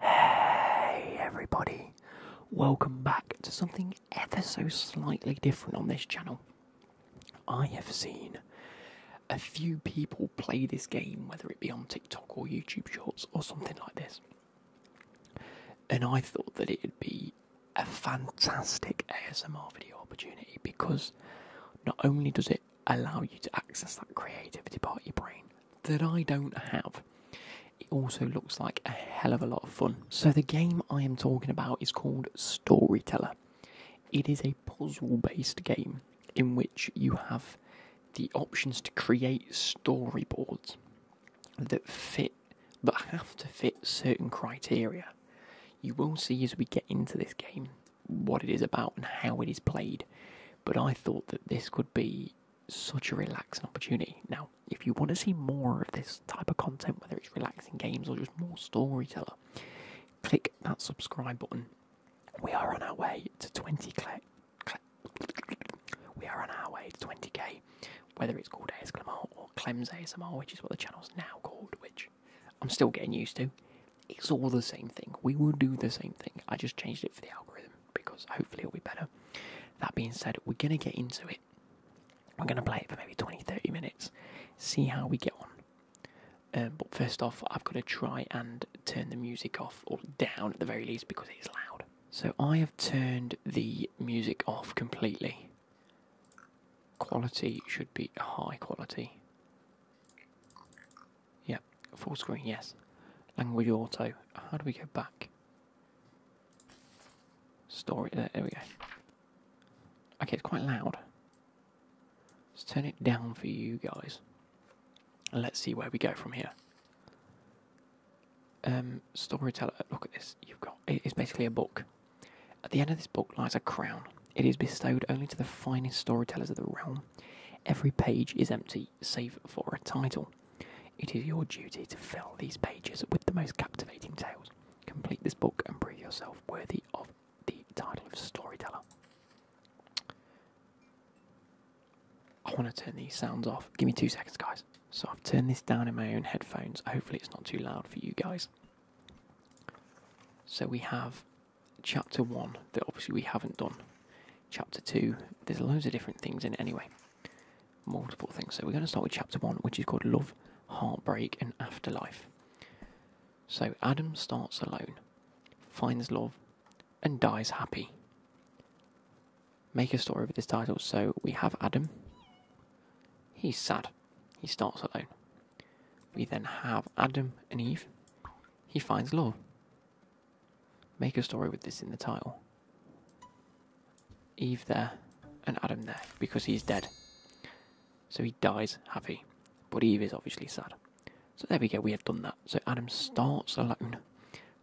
Hey everybody, welcome back to something ever so slightly different on this channel. I have seen a few people play this game, whether it be on TikTok or YouTube Shorts or something like this, and I thought that it'd be a fantastic ASMR video opportunity because not only does it allow you to access that creativity part of your brain, that I don't have. It also looks like a hell of a lot of fun. So, the game I am talking about is called Storyteller. It is a puzzle based game in which you have the options to create storyboards that fit, but have to fit certain criteria. You will see as we get into this game what it is about and how it is played, but I thought that this could be such a relaxing opportunity. Now, if you want to see more of this type of content, whether it's relaxing games or just more storyteller, click that subscribe button. We are on our way to 20 cl We are on our way to 20k, whether it's called ASMR or Clem's ASMR, which is what the channel's now called, which I'm still getting used to. It's all the same thing. We will do the same thing. I just changed it for the algorithm because hopefully it'll be better. That being said, we're going to get into it. We're going to play it for maybe 20 30 minutes, see how we get on. Um, but first off, I've got to try and turn the music off or down at the very least because it is loud. So I have turned the music off completely. Quality should be high quality. Yep, full screen, yes. Language auto. How do we go back? Story. there we go. Okay, it's quite loud. Let's turn it down for you guys. And let's see where we go from here. Um, storyteller, look at this. You've got it's basically a book. At the end of this book lies a crown. It is bestowed only to the finest storytellers of the realm. Every page is empty, save for a title. It is your duty to fill these pages with the most captivating tales. Complete this book and prove yourself worthy of the title of storyteller. I want to turn these sounds off. Give me two seconds, guys. So I've turned this down in my own headphones. Hopefully, it's not too loud for you guys. So we have chapter one that obviously we haven't done. Chapter two, there's loads of different things in it anyway multiple things. So we're going to start with chapter one, which is called Love, Heartbreak, and Afterlife. So Adam starts alone, finds love, and dies happy. Make a story with this title. So we have Adam. He's sad. He starts alone. We then have Adam and Eve. He finds love. Make a story with this in the title. Eve there and Adam there because he's dead. So he dies happy, but Eve is obviously sad. So there we go, we have done that. So Adam starts alone,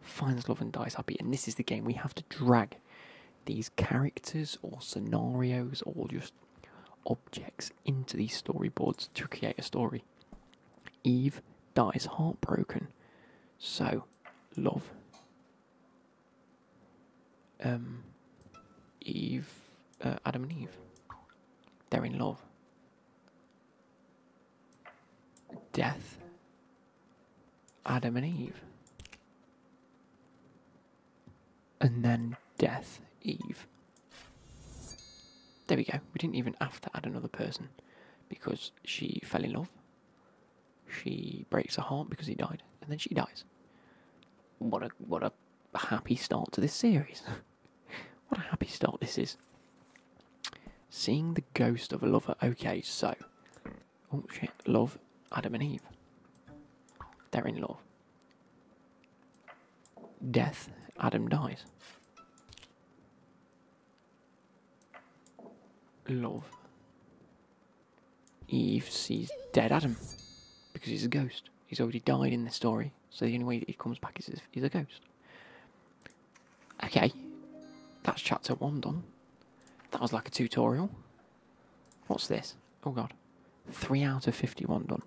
finds love and dies happy, and this is the game we have to drag these characters or scenarios or just objects into these storyboards to create a story. Eve dies heartbroken. So love. Um, Eve, uh, Adam and Eve. They're in love. Death. Adam and Eve. And then death, Eve. There we go. We didn't even have to add another person because she fell in love she breaks her heart because he died, and then she dies. What a what a happy start to this series. what a happy start this is. Seeing the ghost of a lover. Okay, so oh shit, love Adam and Eve. They're in love. Death. Adam dies. Love. Eve sees dead Adam because he's a ghost. He's already died in this story, so the only way he comes back is if he's a ghost. Okay, that's chapter one done. That was like a tutorial. What's this? Oh god. 3 out of 51 done.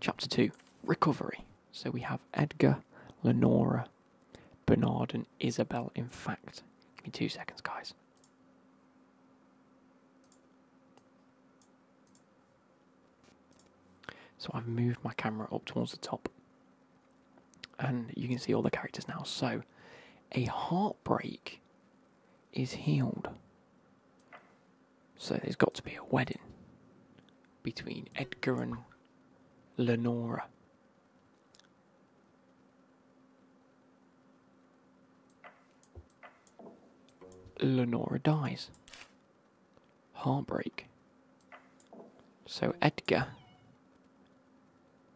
Chapter 2 Recovery. So we have Edgar, Lenora, Bernard, and Isabel. In fact, give me two seconds, guys. So I've moved my camera up towards the top, and you can see all the characters now. So a heartbreak is healed. So there's got to be a wedding between Edgar and Lenora. Lenora dies. Heartbreak. So Edgar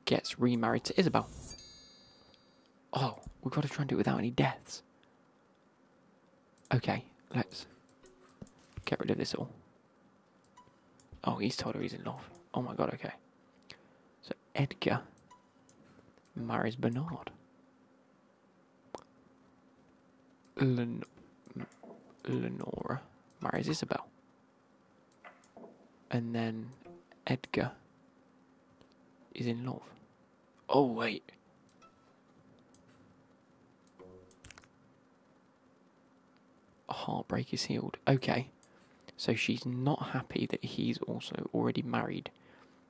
gets remarried to Isabel. Oh, we've got to try and do it without any deaths. Okay, let's get rid of this all. Oh, he's told her he's in love. Oh my god, okay. So Edgar marries Bernard. Lenora marries Isabel. And then Edgar is in love. Oh, wait. A Heartbreak is healed. Okay. So she's not happy that he's also already married.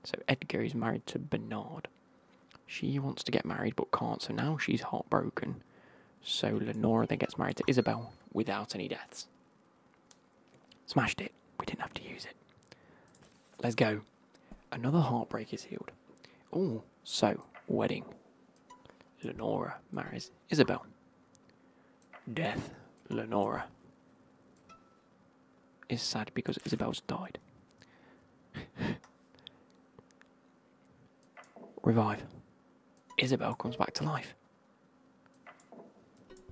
So Edgar is married to Bernard. She wants to get married but can't, so now she's heartbroken. So Lenora then gets married to Isabel without any deaths. Smashed it. We didn't have to use it. Let's go. Another heartbreak is healed. Oh, so wedding. Lenora marries Isabel. Death, Lenora. Is sad because Isabel's died. Revive. Isabel comes back to life.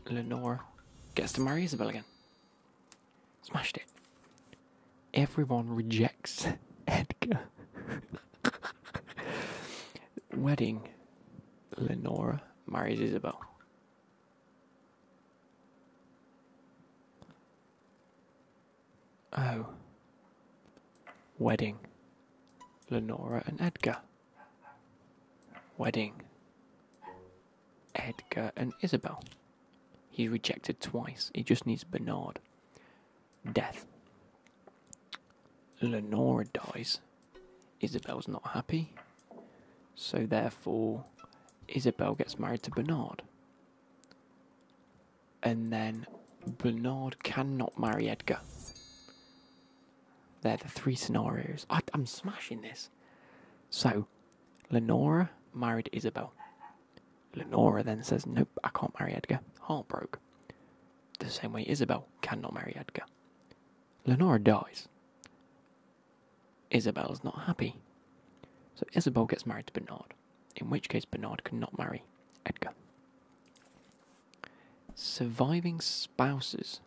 Lenora gets to marry Isabel again. Smashed it. Everyone rejects Edgar. Wedding. Lenora marries Isabel. Oh. Wedding. Lenora and Edgar. Wedding. Edgar and Isabel. He's rejected twice. He just needs Bernard. Death. Lenora dies. Isabel's not happy. So therefore, Isabel gets married to Bernard. And then Bernard cannot marry Edgar. They're the three scenarios. I, am smashing this. So, Lenora married Isabel. Lenora then says, Nope, I can't marry Edgar. Heartbroken the same way Isabel cannot marry Edgar. Lenora dies. Isabel is not happy. So Isabel gets married to Bernard, in which case Bernard cannot marry Edgar. Surviving spouses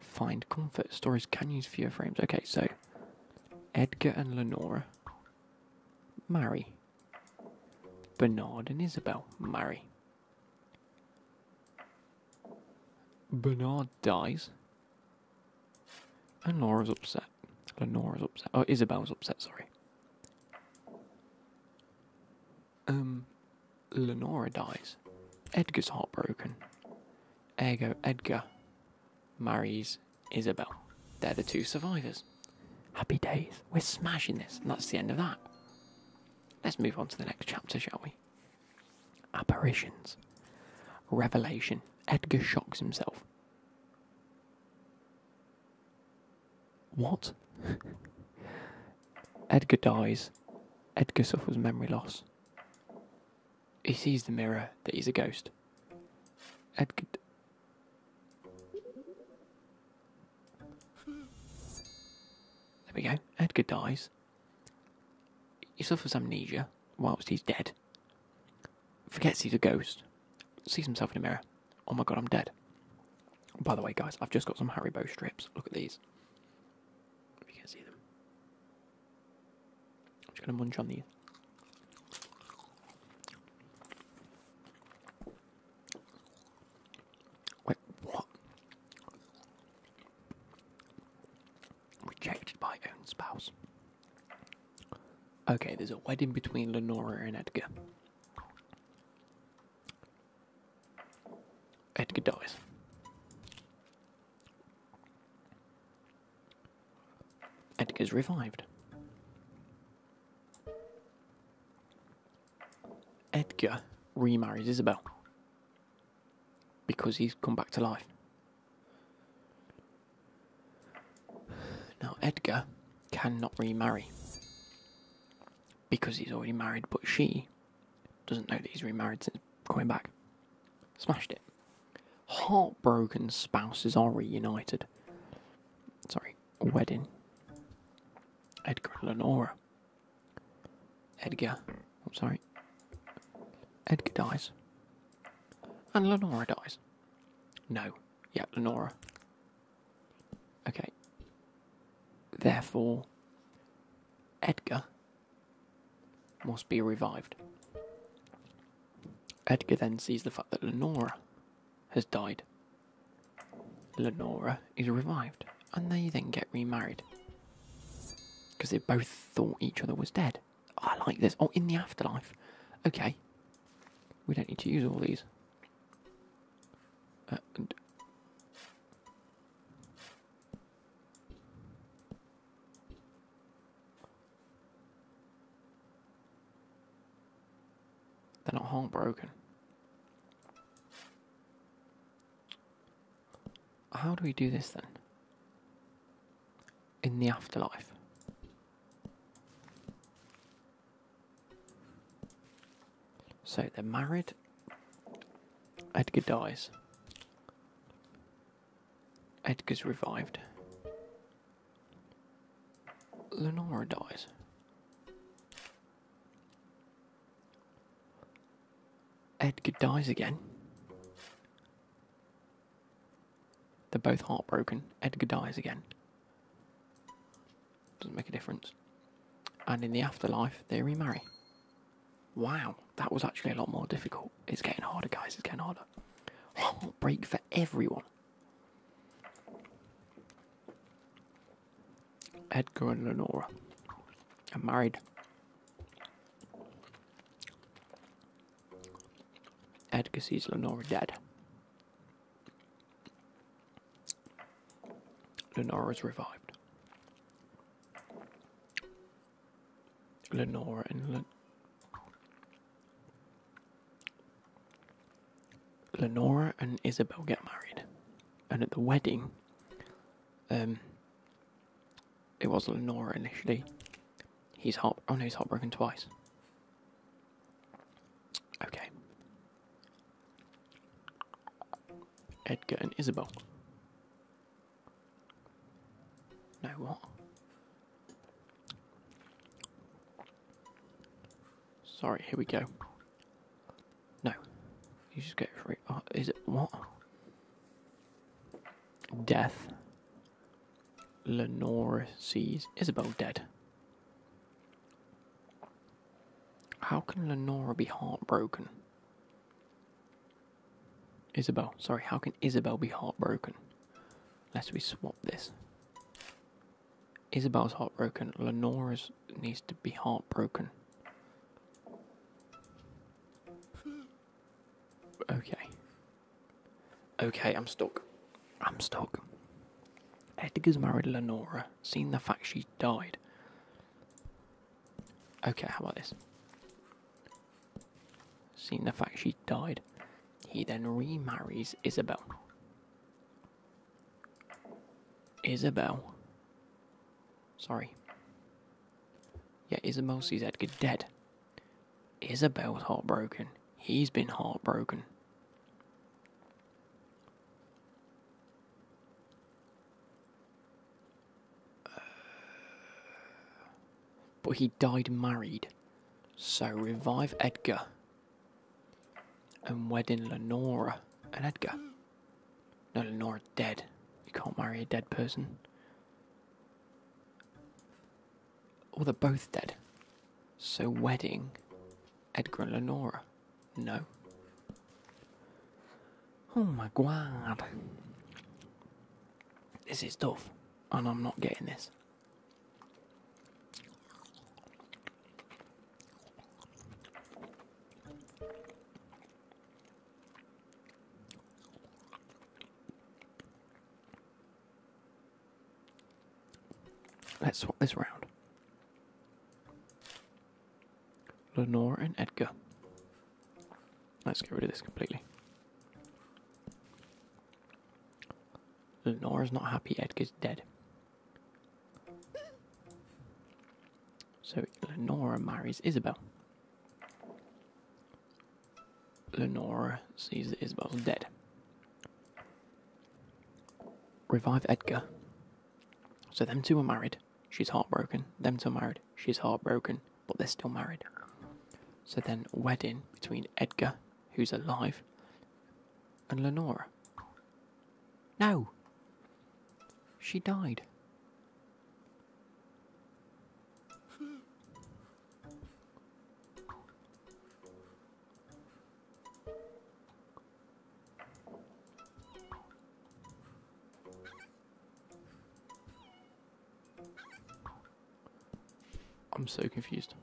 find comfort. Stories can use fewer frames. Okay, so Edgar and Lenora marry. Bernard and Isabel marry. Bernard dies. And Laura's upset. Lenora's upset. Oh, Isabel's upset, sorry. Um, Lenora dies. Edgar's heartbroken. Ergo, Edgar marries Isabel. They're the two survivors. Happy days. We're smashing this. And that's the end of that. Let's move on to the next chapter, shall we? Apparitions. Revelation. Edgar shocks himself. What? Edgar dies. Edgar suffers memory loss. He sees the mirror that he's a ghost. Edgar. There we go. Edgar dies. He suffers amnesia whilst he's dead. Forgets he's a ghost. Sees himself in a mirror. Oh my god, I'm dead. By the way, guys, I've just got some Harry Bow strips. Look at these. If you can see them. I'm just going to munch on these. Wait, what? Rejected by own spouse. Okay, there's a wedding between Lenora and Edgar. Edgar dies. Edgar's revived. Edgar remarries Isabel because he's come back to life. Now, Edgar cannot remarry because he's already married, but she doesn't know that he's remarried since coming back. Smashed it. Heartbroken spouses are reunited. Sorry, wedding. Edgar and Lenora Edgar, I'm sorry. Edgar dies. And Lenora dies. No. Yeah, Lenora. Okay. Therefore, Edgar must be revived. Edgar then sees the fact that Lenora has died Lenora is revived, and they then get remarried because they both thought each other was dead. I like this. Oh, in the afterlife. Okay, we don't need to use all these. Uh, They're not heartbroken. How do we do this then? In the afterlife. So they're married. Edgar dies. Edgar's revived. Lenora dies. Edgar dies again. They're both heartbroken. Edgar dies again. Doesn't make a difference. And in the afterlife, they remarry. Wow, that was actually a lot more difficult. It's getting harder, guys. It's getting harder. Heartbreak for everyone. Edgar and Lenora are married. Edgar sees Lenora dead. Lenora is revived. Lenora and Len Lenora and Isabel get married, and at the wedding, um, it was Lenora initially. He's heart. Oh no, he's heartbroken twice. Okay. Edgar and Isabel. No, what? Sorry, here we go. No. You just get free. Oh, is it what? Death. Lenora sees Isabel dead. How can Lenora be heartbroken? Isabel, sorry, how can Isabel be heartbroken? Let's we swap this. Isabel's heartbroken. Lenora's needs to be heartbroken. Okay. Okay, I'm stuck. I'm stuck. Edgar's married Lenora, seen the fact she died. Okay, how about this? Seen the fact she died, he then remarries Isabel. Isabel. Sorry. Yeah, Isabel sees Edgar dead. Isabel's heartbroken. He's been heartbroken. Uh, but he died married. So revive Edgar and wed in Lenora and Edgar. No, Lenore, dead. You can't marry a dead person. Or they're both dead. So wedding Edgar and Lenora. No. Oh my god. This is tough. And I'm not getting this. Let's swap this round. Lenore and Edgar. Let's get rid of this completely. Lenore's not happy, Edgar's dead. So Lenora marries Isabel. Lenora sees that Isabel's dead. Revive Edgar. So them two are married. She's heartbroken. Them two are married. She's heartbroken, but they're still married. So then wedding between Edgar, who's alive, and Lenora. No. She died. I'm so confused.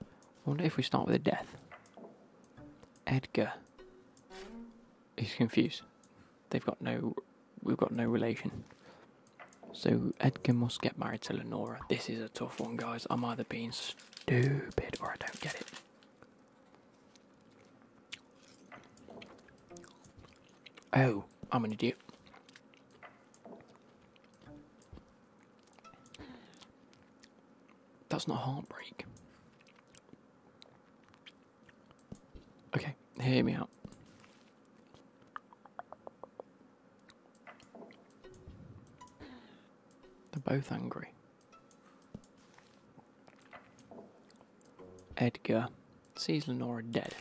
I wonder if we start with a death. Edgar. He's confused. They've got no. We've got no relation. So Edgar must get married to Lenora. This is a tough one, guys. I'm either being stupid or I don't get it. Oh, I'm an idiot. That's not heartbreak. Okay, hear me out. They're both angry. Edgar sees Lenore dead.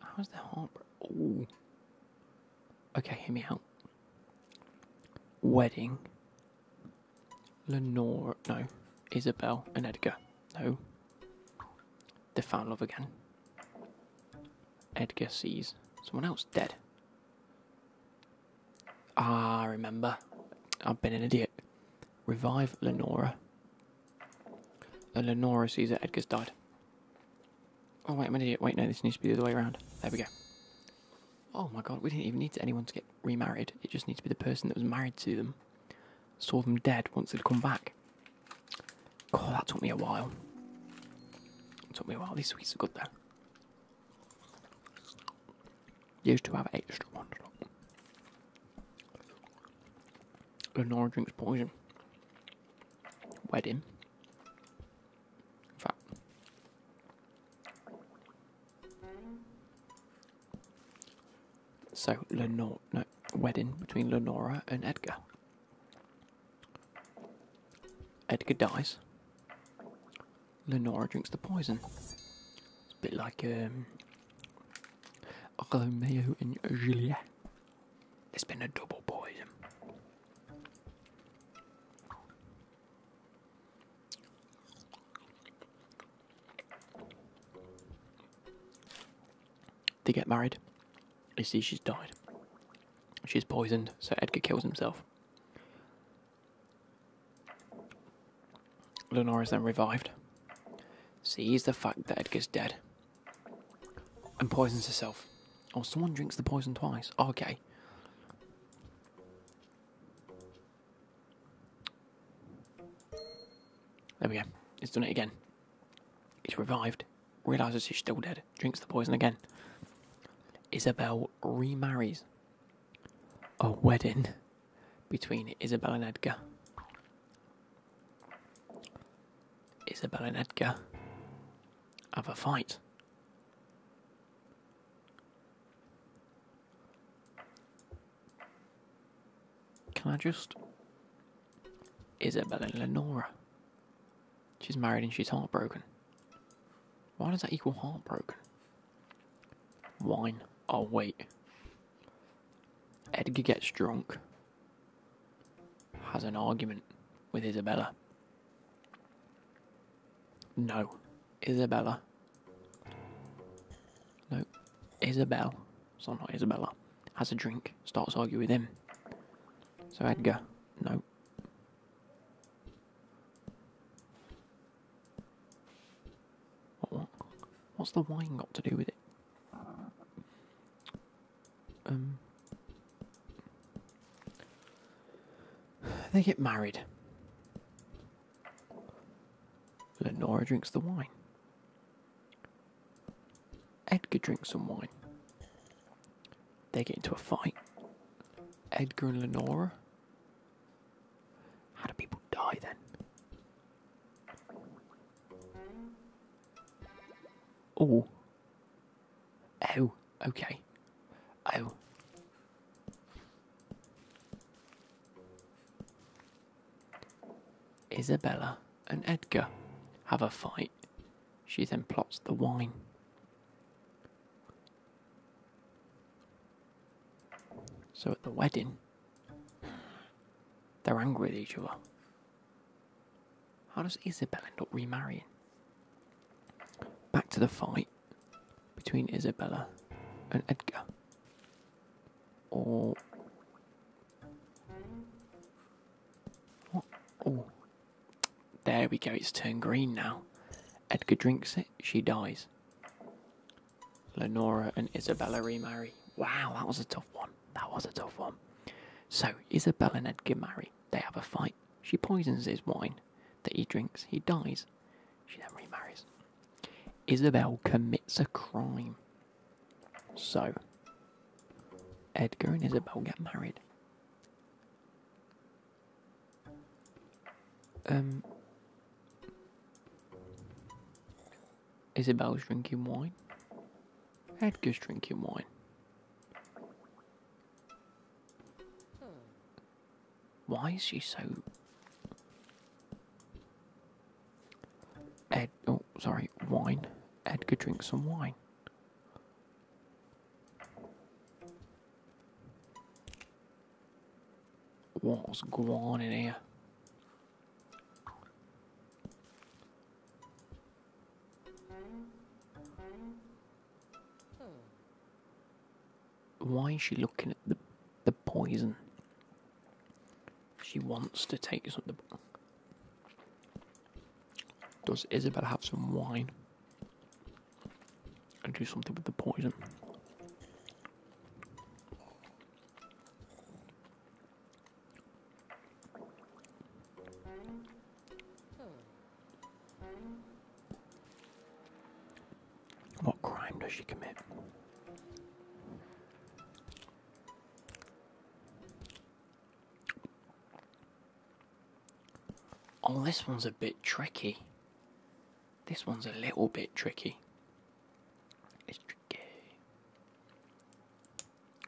How's the heartbreak? Oh. Okay, hear me out. Wedding. Lenora, No. Isabel and Edgar. No. They found love again. Edgar sees someone else dead. Ah, remember. I've been an idiot. Revive Lenora. Eleonora sees that Edgar's died. Oh, wait, I'm an idiot. Wait, no, this needs to be the other way around. There we go. Oh my god, we didn't even need anyone to get remarried. It just needs to be the person that was married to them. Saw them dead once they'd come back. God, that took me a while. It took me a while. These sweets are good though. Used to have extra ones. Lenora drinks poison. Wedding. fact, so Lenora, no, wedding between Lenora and Edgar. Edgar dies. Lenora drinks the poison. It's a bit like um, Romeo and Juliet. It's been a double poison. They get married. You see, she's died. She's poisoned, so Edgar kills himself. Lenora is then revived. Sees the fact that Edgar's dead and poisons herself. or oh, someone drinks the poison twice. Okay. There we go. It's done it again. It's revived. Realises she's still dead. Drinks the poison again. Isabel remarries. A wedding between Isabel and Edgar. Isabel and Edgar have a fight. Can I just. Isabel and Lenora. She's married and she's heartbroken. Why does that equal heartbroken? Wine. Oh, wait. Edgar gets drunk has an argument with Isabella. No. Isabella. No. Isabel. So not Isabella. Has a drink. Starts argue with him. So Edgar. No. What, what? What's the wine got to do with it? Um, they get married. Lenora drinks the wine. Edgar drinks some wine. They get into a fight. Edgar and Lenora. How do people die then? Oh. Oh, okay. Oh. Isabella and Edgar have a fight. She then plots the wine. So at the wedding, they're angry at each other. How does Isabella end up remarrying? Back to the fight between Isabella and Edgar. Or. Oh. There we go, it's turned green now. Edgar drinks it, she dies. Lenora and Isabella remarry. Wow, that was a tough one. That was a tough one. So, Isabel and Edgar marry. They have a fight. She poisons his wine that he drinks. He dies. She then remarries. Isabel commits a crime. So, Edgar and Isabel get married. Um, Isabel's drinking wine. Edgar's drinking wine. Why is she so... Ed... Oh, sorry, wine. Edgar drink some wine. What's going on in here? Why is she looking at the the poison? She wants to take something. Does Isabel have some wine? And do something with the poison. What crime does she commit? Oh, this one's a bit tricky. This one's a little bit tricky. It's tricky.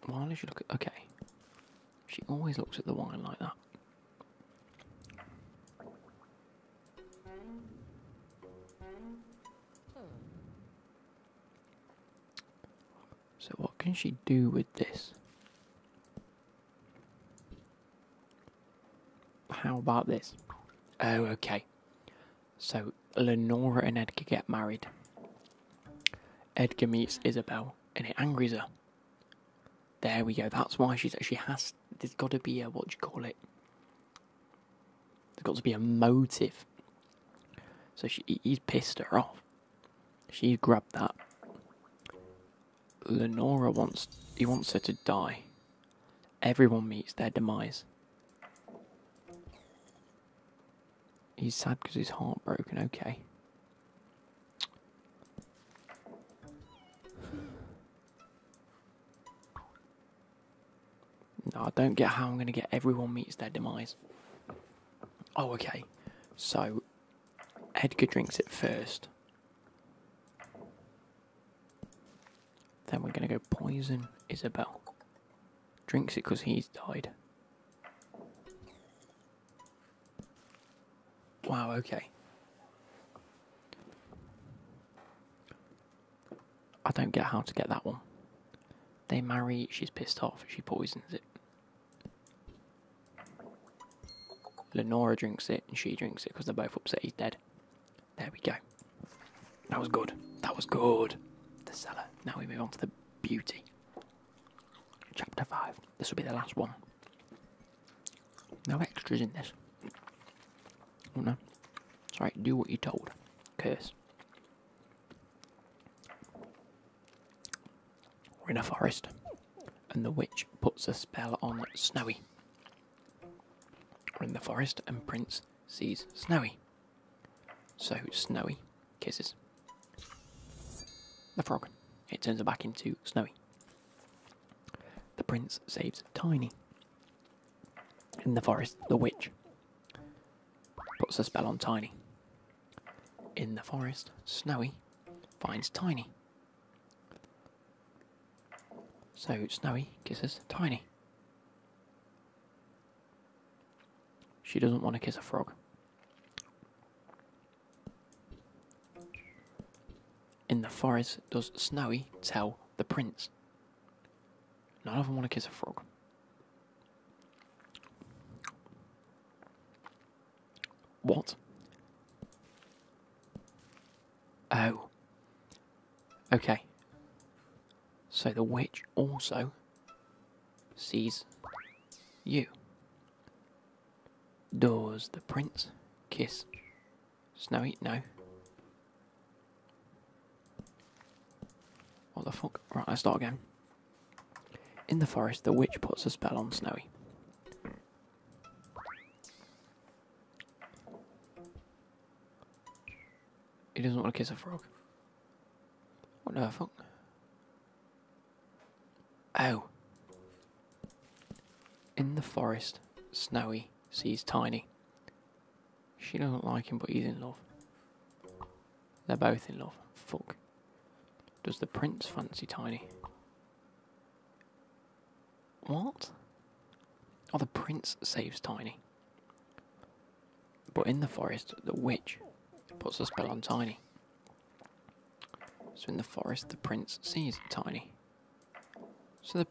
Why does she look at. Okay. She always looks at the wine like that. So, what can she do with this? How about this? Oh, okay. So, Lenora and Edgar get married. Edgar meets Isabel and it angers her. There we go. That's why she's she has. There's got to be a what you call it? There's got to be a motive. So she he's pissed her off. She grabbed that. Lenora wants he wants her to die. Everyone meets their demise. He's sad because he's heartbroken. Okay. No, I don't get how I'm going to get everyone meets their demise. Oh, okay. So, Edgar drinks it first. Then we're going to go poison Isabel. Drinks it because he's died. Wow, okay. I don't get how to get that one. They marry, she's pissed off, she poisons it. Lenora drinks it, and she drinks it because they're both upset he's dead. There we go. That was good. That was good. The cellar. Now we move on to the beauty. Chapter 5. This will be the last one. No extras in this. Oh no. It's do what you're told. Curse. We're in a forest, and the witch puts a spell on Snowy. We're in the forest, and Prince sees Snowy. So Snowy Kisses. The frog. It turns her back into Snowy. The prince saves Tiny. In the forest, the witch puts a spell on Tiny. In the forest, Snowy finds Tiny. So Snowy kisses Tiny. She doesn't want to kiss a frog. In the forest does Snowy tell the prince. None of them want to kiss a frog. What? Oh. Okay. So the witch also sees you. Doors. the prince kiss Snowy? No. What the fuck? Right, I start again. In the forest, the witch puts a spell on Snowy. He doesn't want to kiss a frog. What the fuck? Oh. In the forest, Snowy sees Tiny. She doesn't like him, but he's in love. They're both in love. Fuck. Does the prince fancy Tiny? What? Oh, the prince saves Tiny. But in the forest, the witch puts a spell on Tiny. So in the forest, the prince sees Tiny. So the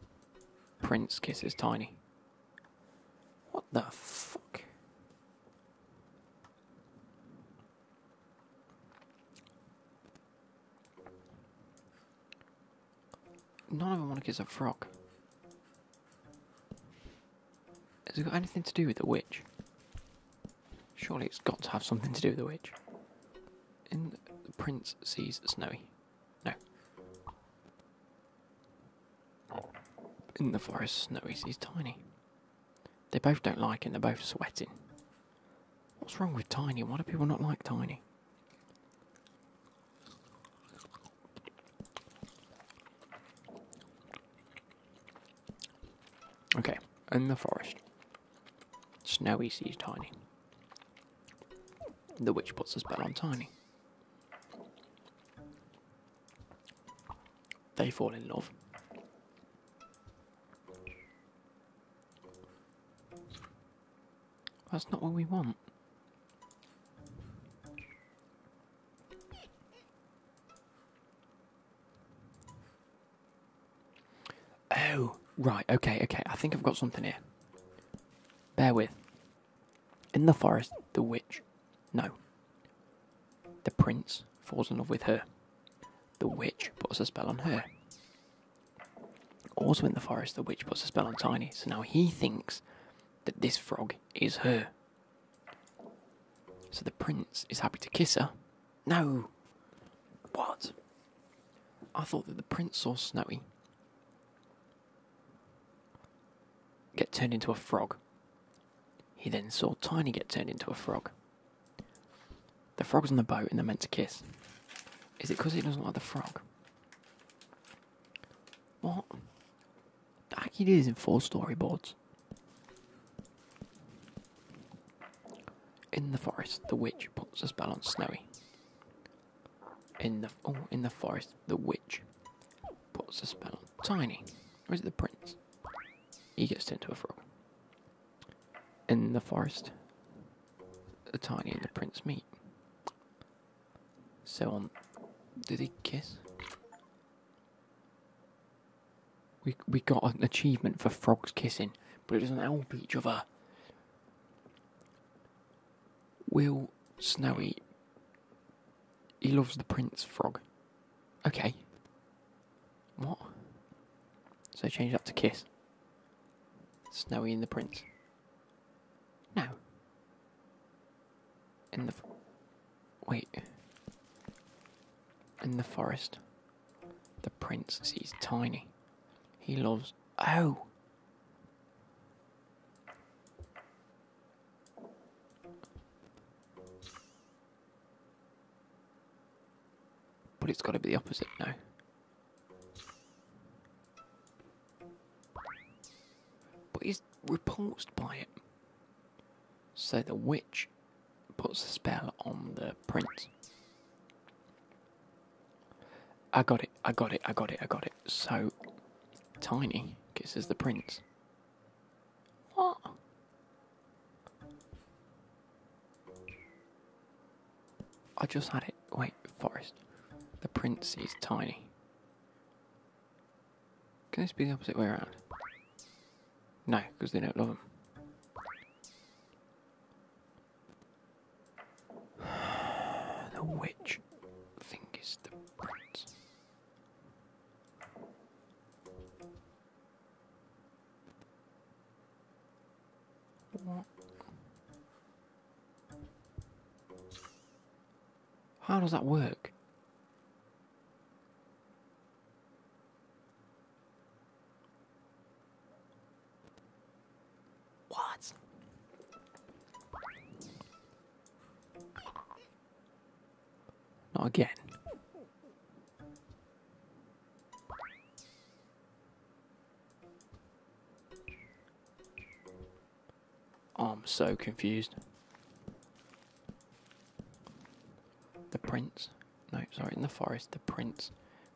prince kisses Tiny. What the fuck? None of them want to kiss a frog. Has it got anything to do with the witch? Surely it's got to have something to do with the witch. In the prince sees Snowy. No. In the forest, Snowy sees Tiny. They both don't like it, they're both sweating. What's wrong with Tiny? Why do people not like Tiny? Okay, in the forest. Snowy sees Tiny. The witch puts us back on Tiny. They fall in love. That's not what we want. Oh, right, okay, okay. I think I've got something here. Bear with. In the forest, the witch. No. The prince falls in love with her. The witch puts a spell on her. Also in the forest, the witch puts a spell on Tiny, so now he thinks that this frog is her. So the prince is happy to kiss her no! What? I thought that the prince saw Snowy get turned into a frog. He then saw Tiny get turned into a frog. The frog's on the boat and they're meant to kiss. Is it because he doesn't like the frog? What? Like it is in four storyboards. In the forest, the witch puts a spell on Snowy. In the oh, in the forest, the witch puts a spell on Tiny. Or is it the prince? He gets turned into a frog. In the forest, the Tiny and the prince meet. So on, did they kiss? We we got an achievement for frogs kissing, but it doesn't help each other. Will Snowy he loves the prince frog. Okay. What? So change that to kiss. Snowy and the prince. No. In the wait. In the forest. The prince he's tiny. He loves. Oh! But it's got to be the opposite now. But he's repulsed by it. So the witch puts a spell on the prince. I got it, I got it, I got it, I got it. So, Tiny kisses the prince. What? I just had it. Wait, forest. The prince is tiny. Can this be the opposite way around? No, because they don't love them. the witch thing is the prince. What? How does that work? What? Not again. Oh, I'm so confused. The prince. No, sorry, in the forest, the prince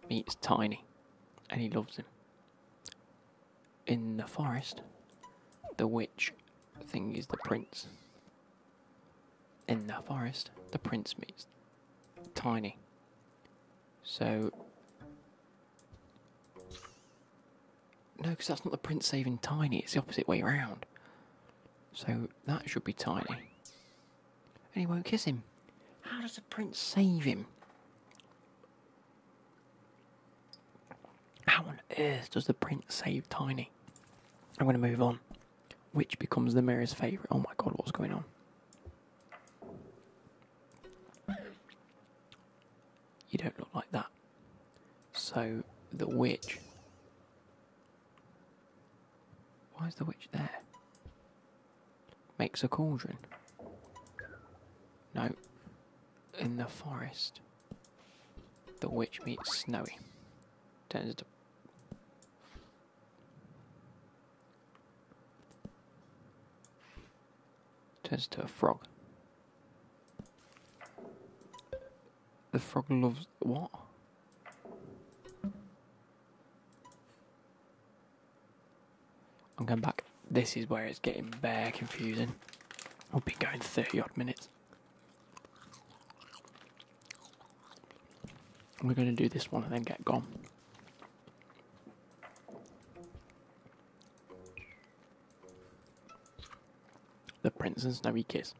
meets Tiny and he loves him. In the forest, the witch thing is the prince. In the forest, the prince meets Tiny. So. No, because that's not the prince saving Tiny, it's the opposite way around. So that should be Tiny. And he won't kiss him. How does the prince save him? How on earth does the prince save Tiny? I'm going to move on. Which becomes the mayor's favourite? Oh my god, what's going on? You don't look like that. So, the witch why is the witch there? Makes a cauldron. No. In the forest. The witch meets Snowy. Turns to turns to a frog. The frog loves what? I'm going back. This is where it's getting bare confusing. We've been going 30 odd minutes. We're going to do this one and then get gone. The Prince and Snowy Kiss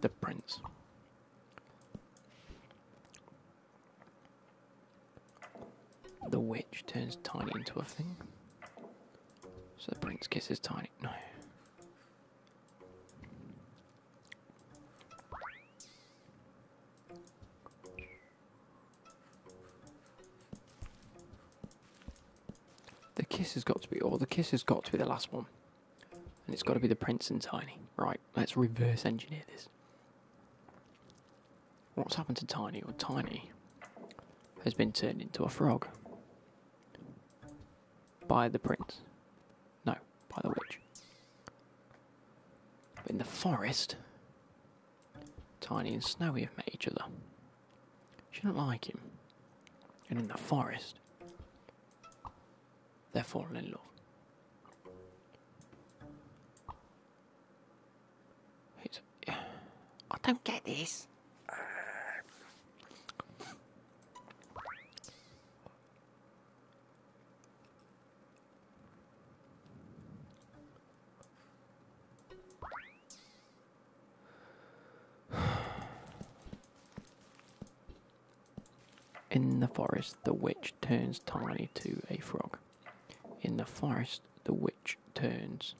the prince. The witch turns Tiny into a thing. So the prince kisses Tiny. No. The kiss has got to be, all. the kiss has got to be the last one. And it's got to be the Prince and Tiny. Right, let's reverse engineer this. What's happened to Tiny? Or Tiny has been turned into a frog. By the Prince. No, by the Witch. But in the forest, Tiny and Snowy have met each other. She doesn't like him. And in the forest, they fall in love. I don't get this. In the forest, the witch turns Tiny to a frog. In the forest, the witch turns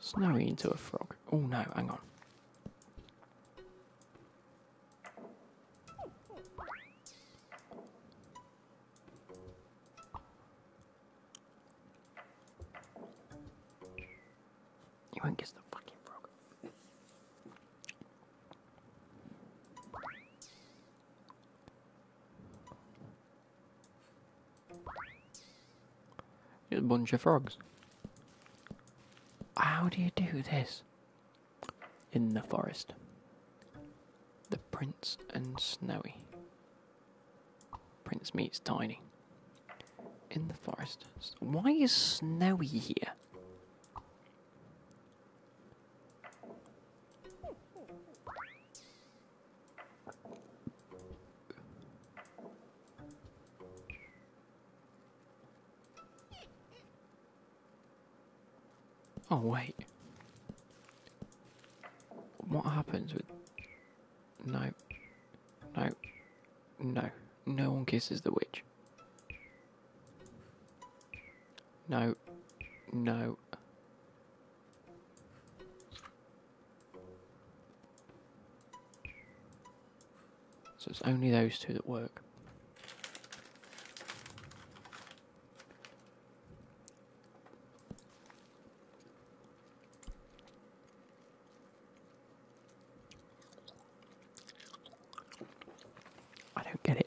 Snowy into a frog. Oh no, hang on. You won't kiss the fucking frog. You're a bunch of frogs. How do you do this? In the forest. The Prince and Snowy. Prince meets Tiny. In the forest. Why is Snowy here? Oh, wait. What happens with... No. No. No. No one kisses the witch. No. No. So it's only those two that work. I don't get it.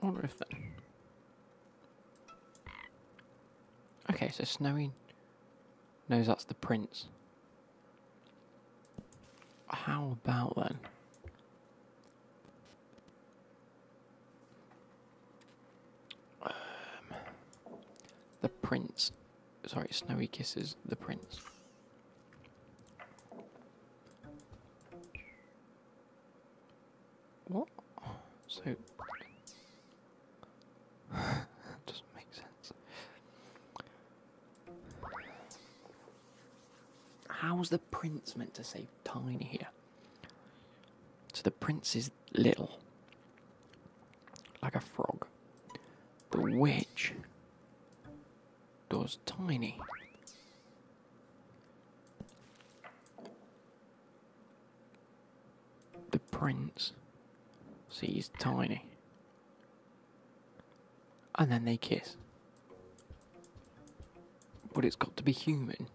Or if then. Okay, so Snowy knows that's the prince. How about then? Um, the prince Sorry, Snowy kisses the prince. What? So that doesn't make sense. How's the prince meant to save Tiny here? So the prince is little, like a frog. The witch Door's tiny. The prince. sees tiny. And then they kiss. But it's got to be human.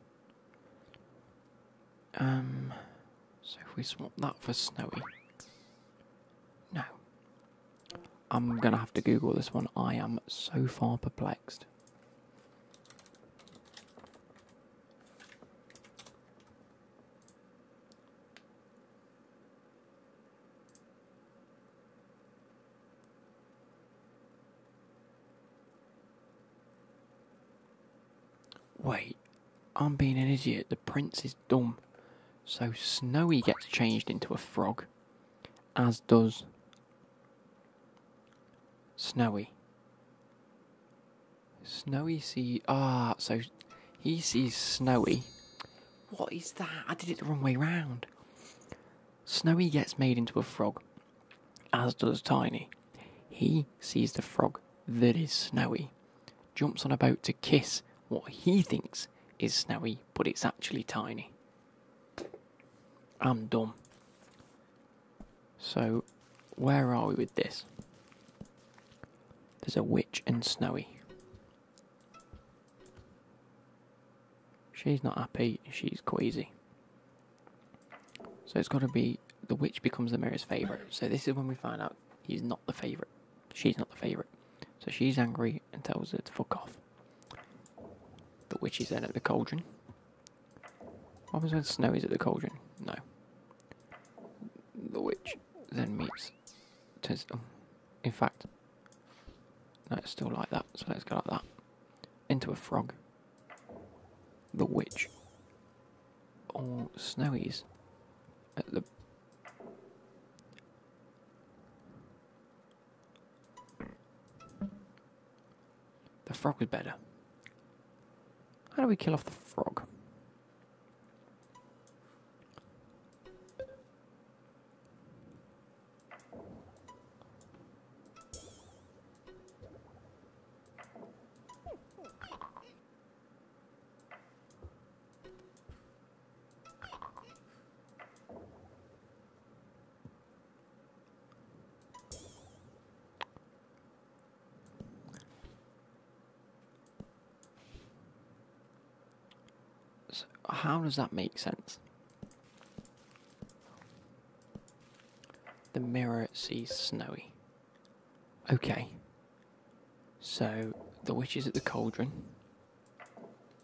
Um, so if we swap that for Snowy. No. I'm gonna have to Google this one. I am so far perplexed. Wait, I'm being an idiot. The prince is dumb. So Snowy gets changed into a frog, as does Snowy. Snowy sees. Ah, so he sees Snowy. What is that? I did it the wrong way round. Snowy gets made into a frog, as does Tiny. He sees the frog that is Snowy, jumps on a boat to kiss what he thinks is snowy, but it's actually tiny. I'm dumb. So, where are we with this? There's a witch and Snowy. She's not happy, she's queasy. So it's got to be the witch becomes the mirror's favourite. So this is when we find out he's not the favourite. She's not the favourite. So she's angry and tells her to fuck off. The witch is then at the cauldron. What happens when Snow is at the cauldron? No. The witch then meets. Turns, oh, in fact, no, it's still like that, so let's go like that. Into a frog. The witch. Or Snow is at the the frog is better. How do we kill off the frog? So how does that make sense? The mirror sees Snowy. Okay. So the witch is at the cauldron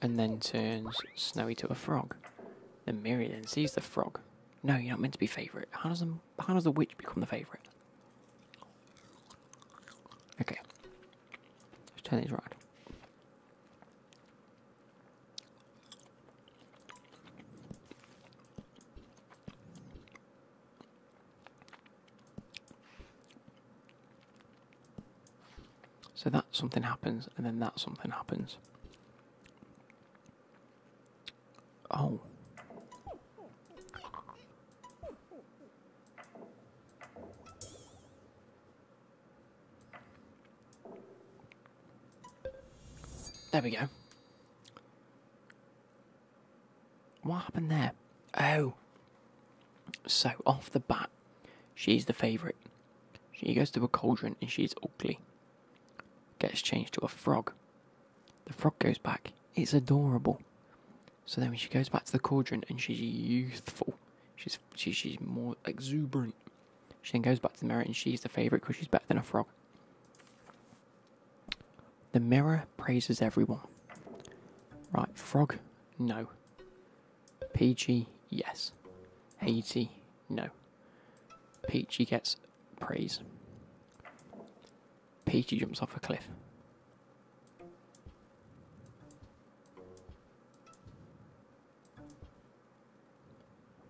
and then turns Snowy to a frog. Then Miriam then sees the frog. No, you're not meant to be favourite. How does the, how does the witch become the favourite? Okay. Let's turn these around. So that something happens, and then that something happens. Oh. There we go. What happened there? Oh, so, off the bat, she's the favourite. She goes to a cauldron and she's ugly. Gets changed to a frog. The frog goes back. It's adorable. So then she goes back to the cauldron and she's youthful. She's she, she's more exuberant. She then goes back to the mirror and she's the favourite because she's better than a frog. The mirror praises everyone. Right, frog, no. Peachy, yes. Haiti, no. Peachy gets praise. Peachy jumps off a cliff.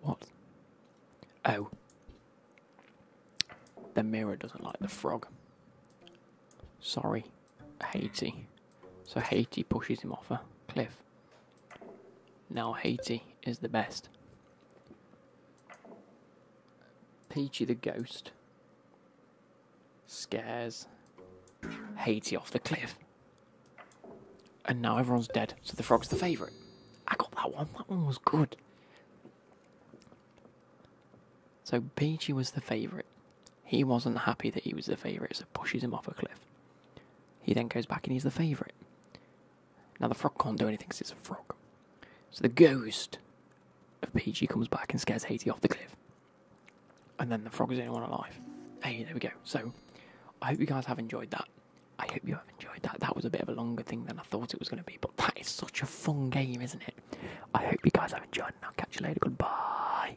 What? Oh. The mirror doesn't like the frog. Sorry. Haiti. So Haiti pushes him off a cliff. Now Haiti is the best. Peachy the ghost scares Haiti off the cliff. And now everyone's dead, so the frog's the favourite. I got that one, that one was good. So Peachy was the favourite. He wasn't happy that he was the favourite, so pushes him off a cliff. He then goes back and he's the favourite. Now the frog can't do anything because it's a frog. So the ghost of PG comes back and scares Haiti off the cliff. And then the frog is the only one alive. Hey, there we go. So I hope you guys have enjoyed that. I hope you have enjoyed that. That was a bit of a longer thing than I thought it was going to be, but that is such a fun game, isn't it? I hope you guys have enjoyed, and I'll catch you later. Goodbye.